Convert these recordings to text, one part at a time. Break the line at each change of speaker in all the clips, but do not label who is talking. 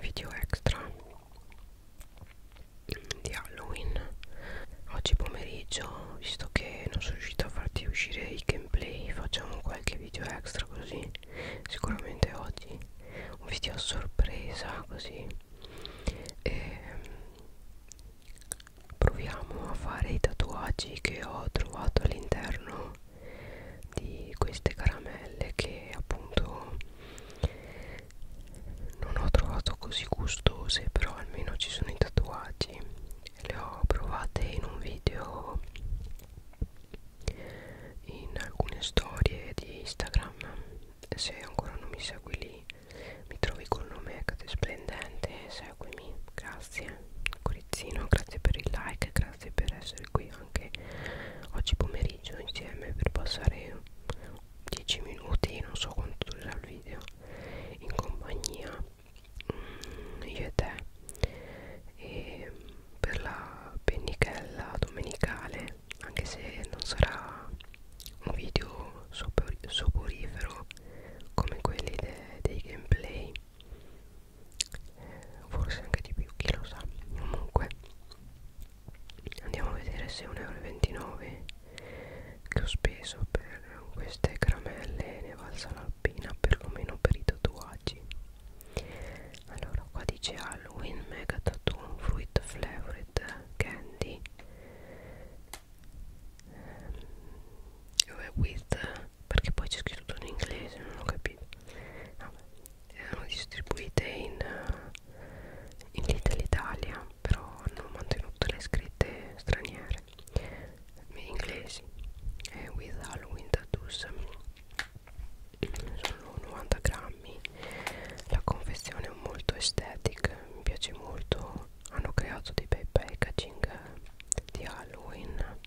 video extra di Halloween oggi pomeriggio visto che non sono riuscito a farti uscire i gameplay facciamo qualche video extra così sicuramente oggi un video a sorpresa così e ehm, proviamo a fare i tatuaggi che ho trovato all'interno di queste caramelle che appunto non ho trovato così gustose però almeno ci sono i tatuaggi le ho provate in un video in alcune storie di Instagram se ancora non mi segui lì mi trovi col nome Cate Splendente seguimi grazie grazie Corizzino grazie per il like grazie per essere qui anche oggi pomeriggio insieme per passare 10 minuti non so quanto durerà il video in compagnia mm, io e te e per la pennichella domenicale anche se non sarà un video sopor soporifero come quelli de dei gameplay forse anche di più chi lo sa comunque andiamo a vedere se 1,29 euro che ho speso per queste caramelle ne valsa la pena perlomeno per i tatuaggi allora qua dice Halloween Mega Tattoo Fruit Flavored Candy um, with perché poi c'è scritto tutto in inglese non ho capito no, erano distribuite in, in Little Italia però hanno mantenuto le scritte straniere inglesi eh, with Halloween tattoos sono 90 grammi la confezione è molto estetica mi piace molto hanno creato dei bei packaging di Halloween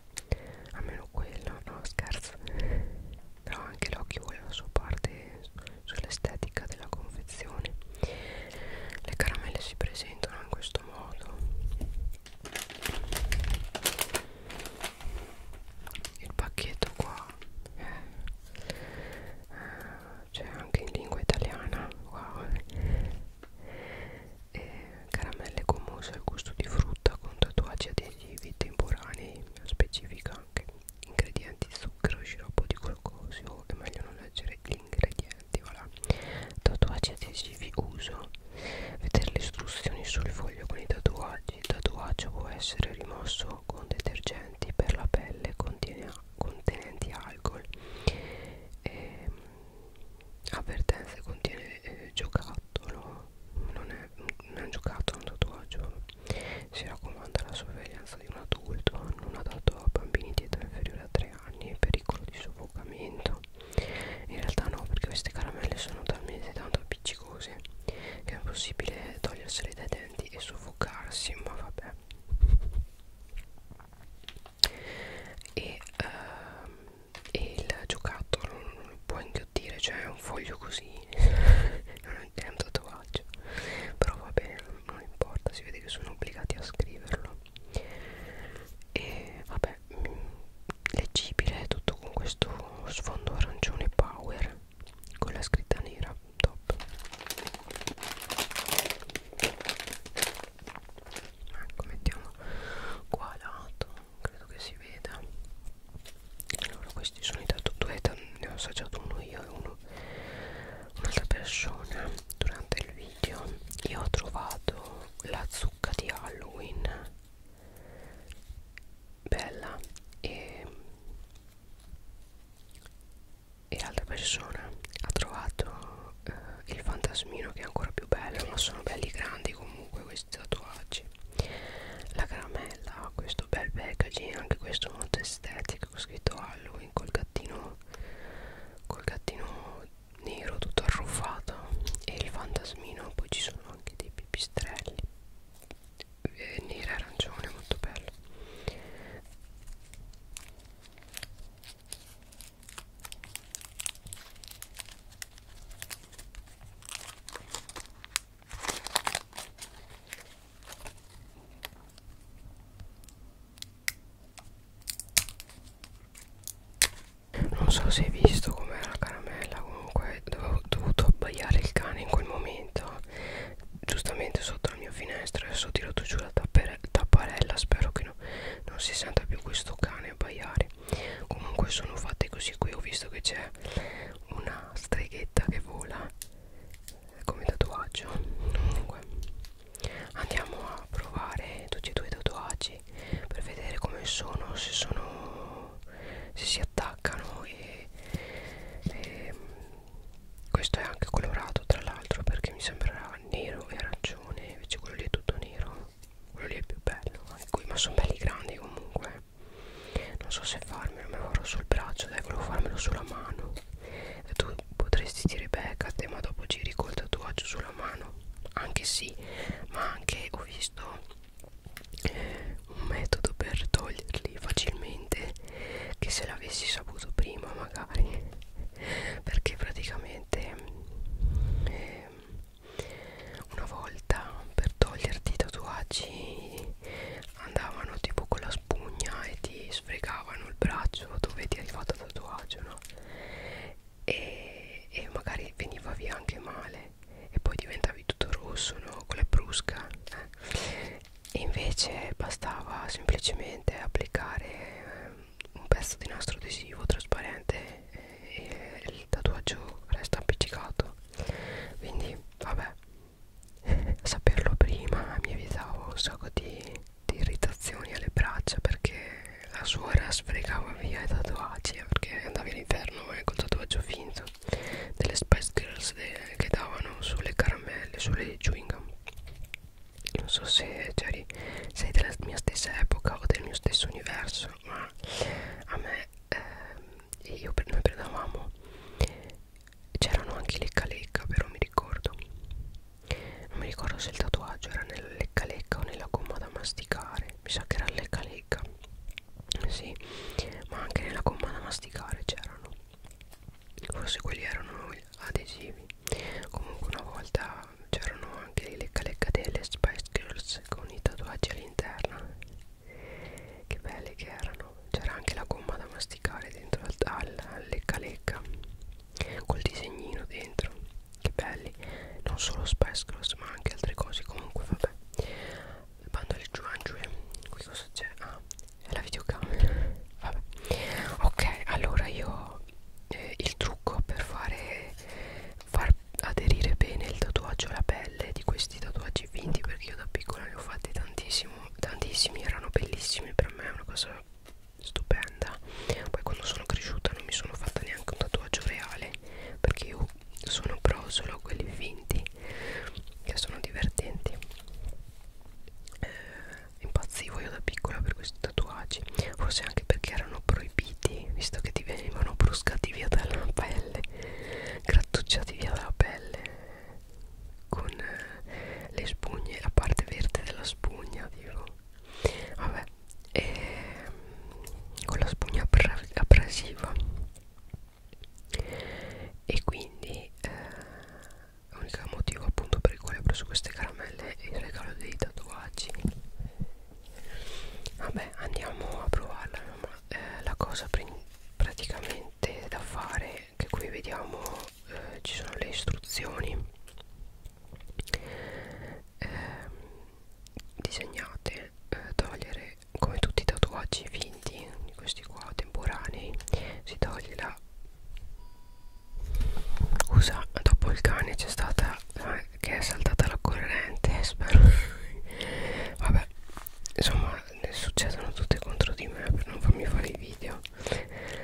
almeno quello no scherzo però anche l'occhio vuole la sua parte sull'estetica della confezione le caramelle si presentano in questo modo il pacchetto qua eh, eh, c'è anche in lingua italiana wow eh eh, caramelle con mousse al gusto di frutta con tatuaggi adesivi temporanei specifica anche ingredienti zucchero sciroppo di glucosio è meglio non leggere gli ingredienti voilà. tatuaggi adesivi uso vedere le istruzioni sul foglio con i tatuaggi il tatuaggio può essere rimosso con detergenti per la pelle contiene, contenenti alcol e, ehm, avvertenze ah, contiene eh, giocattolo non è, non è un giocattolo è un tatuaggio si raccomanda la sorveglianza di un adulto non adatto a bambini di età inferiore a 3 anni pericolo di soffocamento in realtà no perché queste caramelle sono talmente tanto appiccicose che è impossibile togliersele dai denti e soffocarsi ma vabbè e ehm, e il giocattolo non lo può inghiottire cioè è un foglio così è un tatuaggio però va bene non importa si vede che sono obbligati a scriverlo e vabbè mm, leggibile tutto con questo sfondo arancione power con la scritta nera top ecco mettiamo qua a lato credo che si veda allora questi sono i tatuette ne ho assaggiato uno io e uno un'altra persona durante il video io ho trovato la zucca di Halloween bella e, e l'altra persona ha trovato eh, il fantasmino che è ancora più bello ma sono belli grandi comunque questi tatuaggi la caramella ha questo bel packaging anche questo molto estetico scritto Halloween col gattino col gattino nero tutto arruffato e il fantasmino poi ci sono anche dei pipistrelli eh, nero arancione molto bello non so se hai visto com'era la caramella, comunque ho dovuto abbaiare il cane in quel momento, giustamente sotto la mia finestra, adesso ho tirato giù la tapparella, spero che no, non si senta più questo cane abbaiare comunque sono fatte così qui ho visto che c'è una streghetta che vola come tatuaggio comunque andiamo a provare tutti e due i tatuaggi per vedere come sono se sono se si attaccano e, e questo è anche colorato tra l'altro perché mi sembrava nero e arancione invece quello lì è tutto nero quello lì è più bello ma, qui, ma sono belli grandi comunque non so se farmelo me lo farò sul braccio dai volevo farmelo sulla mano e tu potresti dire becca te ma dopo giri col tatuaggio sulla mano anche sì ma anche ho visto eh, un metodo per toglierli facilmente che se l'avessi saputo prima magari perché praticamente eh, una volta per toglierti i tatuaggi andavano tipo con la spugna e ti sfregavano il braccio dove ti hai fatto il tatuaggio no? e, e magari veniva via anche male e poi diventavi tutto rosso no? con la brusca eh? e invece bastava semplicemente applicare ehm, un pezzo di nastro adesivo trasparente e il tatuaggio resta appiccicato quindi vabbè saperlo prima mi evitavo un sacco di, di irritazioni alle braccia perché la suora sfregava via i tatuaggi eh, perché andava all'inferno eh, col tatuaggio finto delle Spice Girls de, che davano sulle caramelle, sulle chewing gum non so se Jerry sei della mia stessa epoca o del mio stesso universo ma a me eh, io, noi prendevamo c'erano anche lecca lecca però mi ricordo non mi ricordo se il tatuaggio era nella lecca lecca o nella gomma da masticare mi sa che era lecca lecca sì ma anche nella gomma da masticare c'erano forse quelli erano adesivi comunque una volta c'erano anche le lecca lecca delle Spice Girls con i tatuaggi all'interno che belle che erano c'era anche la gomma da masticare dentro al, al, al lecca lecca col disegnino dentro che belli non solo Spice Girls ma anche altre cose comunque vabbè il bando del Giuangiue qui cosa c'è? ah è la videocamera vabbè ok allora io eh, il trucco per fare far aderire bene il tatuaggio alla pelle di questi tatuaggi vinti perché io da piccola ne ho fatti tantissimo tantissimi erano bellissimi per me è una cosa stupenda poi quando sono cresciuta non mi sono fatta neanche un tatuaggio reale perché io sono pro solo quelli finti che sono divertenti eh, impazzivo io da piccola per questi tatuaggi forse anche perché erano proibiti vestiti visto che ti venivano bruscati via dalla pelle grattugiati via dalla pelle con eh, le spugne la parte verde della spugna tipo vabbè e, ehm, con la spugna abrasiva e quindi eh, l'unico motivo appunto per il quale ho preso queste caramelle caramelle e il regalo dei tatuaggi vabbè andiamo a provarla no? eh, la cosa praticamente da fare che qui vediamo eh, ci sono le istruzioni eh, disegnate eh, togliere come tutti i tatuaggi finti questi qua temporanei si toglie la Usa, dopo il cane c'è stata eh, che è saltata la corrente, eh, spero. Vabbè, insomma, ne succedono tutte contro di me per non farmi fare i video.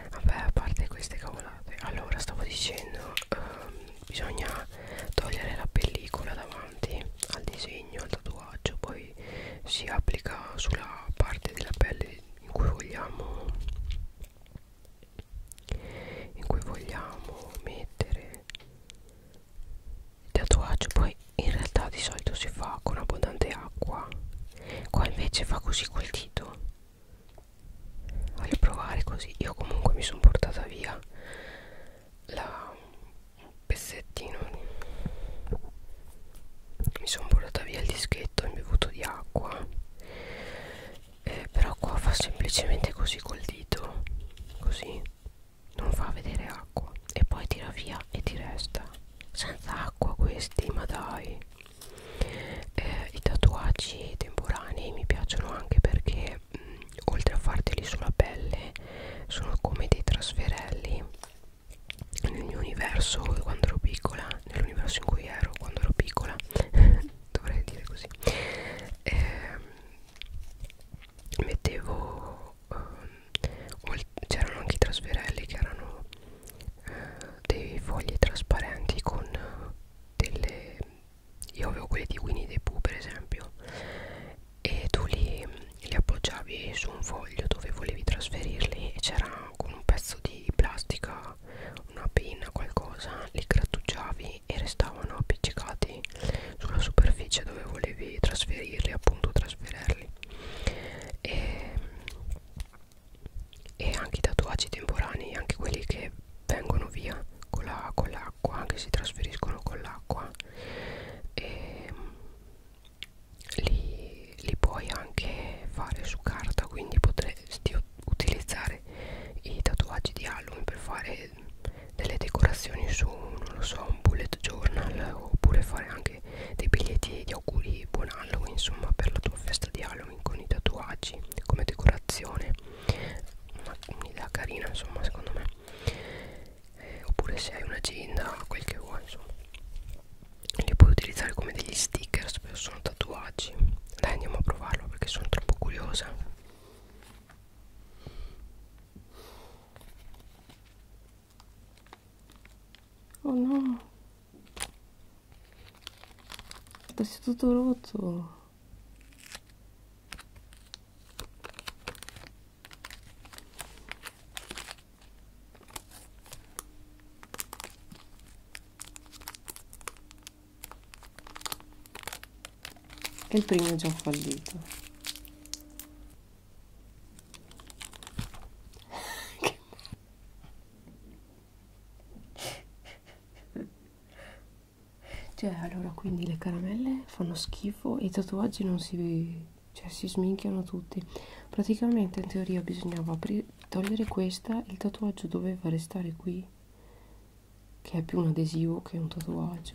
Vabbè, a parte queste cavolate. Allora, stavo dicendo, ehm, bisogna togliere la pellicola davanti al disegno, al tatuaggio, poi si applica sulla parte della pelle in cui vogliamo in cui vogliamo mettere il tatuaggio poi in realtà di solito si fa con abbondante acqua qua invece fa così col dito voglio provare così io comunque mi sono portata via la pezzettino mi sono portata via il dischetto imbevuto di acqua eh, però qua fa semplicemente così col dito così non fa vedere acqua e poi tira via e ti resta senza acqua questi ma dai eh, i tatuaggi temporanei mi piacciono anche perché mh, mm, oltre a farteli sulla pelle sono come dei trasferelli nel mio universo quando ero piccola nell'universo in cui ero quando ero piccola dovrei dire così eh, mettevo eh, c'erano anche i trasferelli che erano eh, dei fogli trasparenti con eh, delle io avevo quelli di Winnie the Pooh per esempio e tu li, li appoggiavi su un foglio dove volevi trasferirli e c'era con un pezzo di plastica una penna, qualcosa, li grattugiavi e restavano appiccicati sulla superficie dove volevi trasferirli, appunto trasferirli. E, e anche i tatuaggi temporanei, anche quelli che vengono via con l'acqua, la, che si trasferiscono con l'acqua. Li, li puoi anche fare su carta quindi potresti utilizzare i tatuaggi di Halloween per fare delle decorazioni su, non lo so, un bullet journal oppure fare anche dei biglietti di auguri buon Halloween, insomma, per la tua festa di Halloween con i tatuaggi come decorazione. Un'idea carina, insomma, secondo me. Eh, oppure se hai un'agenda, quel che vuoi, insomma. Li puoi utilizzare come degli sticker, spesso sono tatuaggi dai andiamo a provarlo perché sono troppo curiosa oh no adesso è tutto rotto e il primo è già fallito cioè allora quindi le caramelle fanno schifo e i tatuaggi non si cioè si sminchiano tutti praticamente in teoria bisognava togliere questa il tatuaggio doveva restare qui che è più un adesivo che un tatuaggio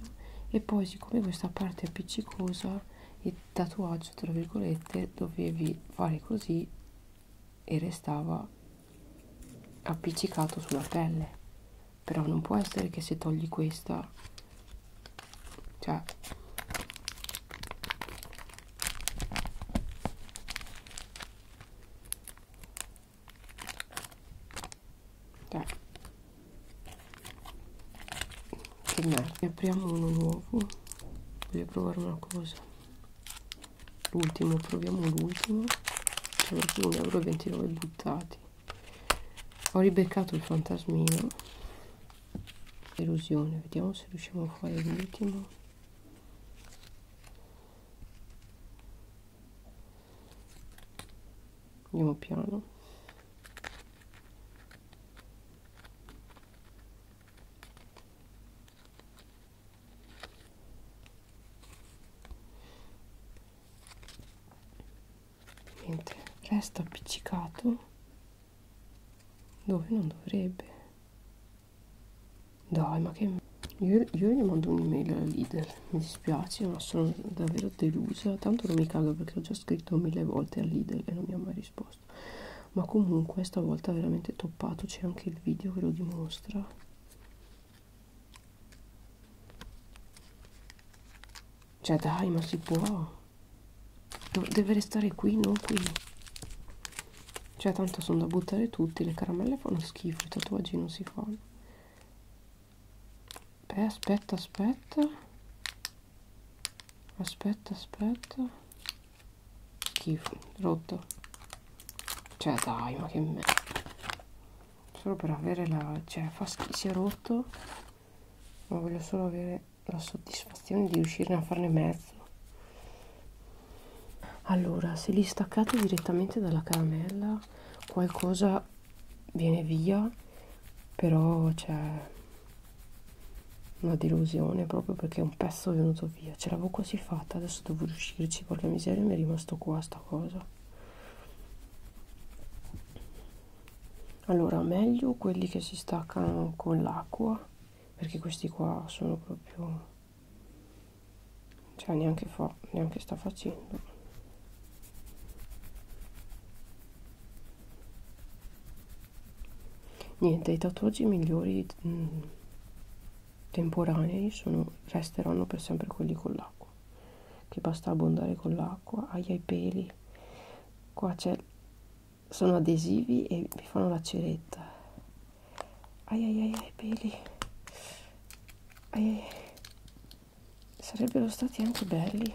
e poi siccome questa parte è appiccicosa il tatuaggio tra virgolette dovevi fare così e restava appiccicato sulla pelle però non può essere che se togli questa cioè dai che merda ne apriamo uno nuovo voglio provare una cosa l'ultimo proviamo l'ultimo c'è un 1,29€ buttati ho ribeccato il fantasmino erosione vediamo se riusciamo a fare l'ultimo andiamo piano niente resta appiccicato dove non dovrebbe dai, ma che... Io, io gli mando un'email alla leader, mi dispiace, ma sono davvero delusa. Tanto non mi cago perché ho già scritto mille volte al leader e non mi ha mai risposto. Ma comunque stavolta veramente toppato, c'è anche il video che lo dimostra. Cioè dai, ma si può. Deve restare qui, non qui cioè tanto sono da buttare tutti le caramelle fanno schifo i tatuaggi non si fanno beh aspetta aspetta aspetta aspetta schifo rotto cioè dai ma che merda solo per avere la cioè fa schifo si è rotto ma voglio solo avere la soddisfazione di riuscirne a farne mezzo allora se li staccate direttamente dalla caramella qualcosa viene via però c'è cioè, una delusione proprio perché un pezzo è venuto via ce l'avevo quasi fatta adesso devo riuscirci perché miseria mi è rimasto qua sta cosa allora meglio quelli che si staccano con l'acqua perché questi qua sono proprio cioè neanche fa neanche sta facendo niente i tatuaggi migliori mh, mm, temporanei sono, resteranno per sempre quelli con l'acqua che basta abbondare con l'acqua hai ai peli qua c'è sono adesivi e vi fanno la ceretta ai ai ai, ai peli ai, ai. sarebbero stati anche belli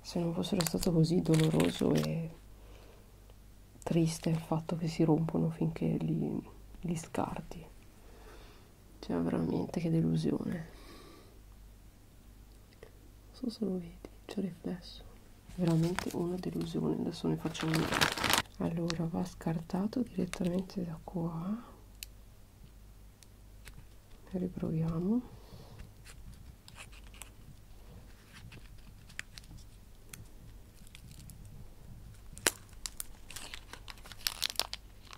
se non fossero stato così doloroso e triste il fatto che si rompono finché li, li scarti cioè veramente che delusione non so se lo vedi, c'è riflesso veramente una delusione adesso ne facciamo una allora va scartato direttamente da qua riproviamo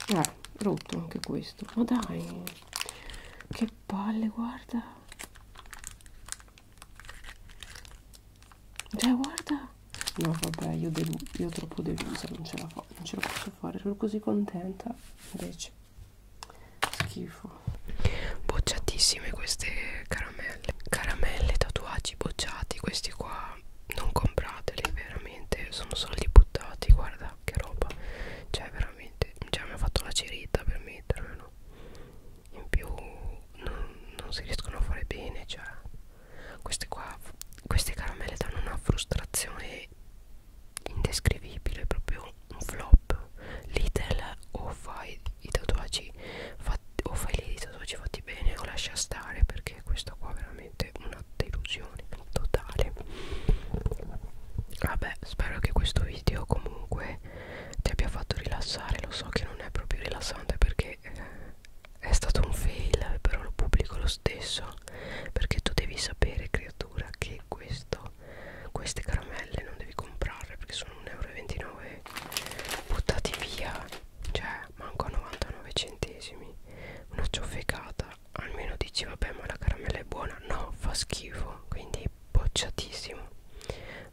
eh, rotto anche questo ma dai che palle guarda cioè guarda No vabbè io, io troppo delusa Non ce la fa non ce la posso fare Sono così contenta Invece Schifo Bocciatissime queste caramelle Caramelle, tatuaggi bocciati Questi qua non comprateli veramente Sono soldi buttati Guarda che roba Cioè veramente Cioè mi ha fatto la cerita per mettermelo in più non, non si riescono a fare bene cioè queste qua queste caramelle danno una frustrazione indescrivibile proprio un flop Little o fai i tatuaggi fatti, o fai lì i tatuaggi fatti bene o lascia stare perché questa qua è veramente una delusione totale vabbè spero che questo video comunque che ti abbia fatto rilassare lo so che non è proprio rilassante perché eh, è stato un fail però lo pubblico lo stesso perché tu devi sapere creatura che questo queste caramelle non devi comprarle perché sono 1,29 euro buttati via cioè manco a 99 centesimi una ciofecata almeno dici vabbè ma la caramella è buona no fa schifo quindi bocciatissimo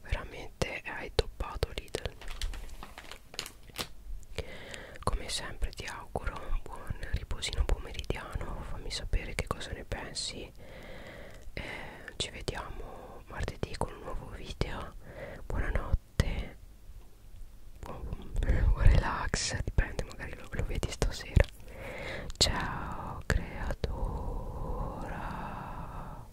veramente veramente hai toppato Lidl come sempre ti auguro un buon riposino pomeridiano fammi sapere che cosa ne pensi eh, ci vediamo martedì con un nuovo video buonanotte buon, buon relax dipende magari lo, lo vedi stasera ciao creatura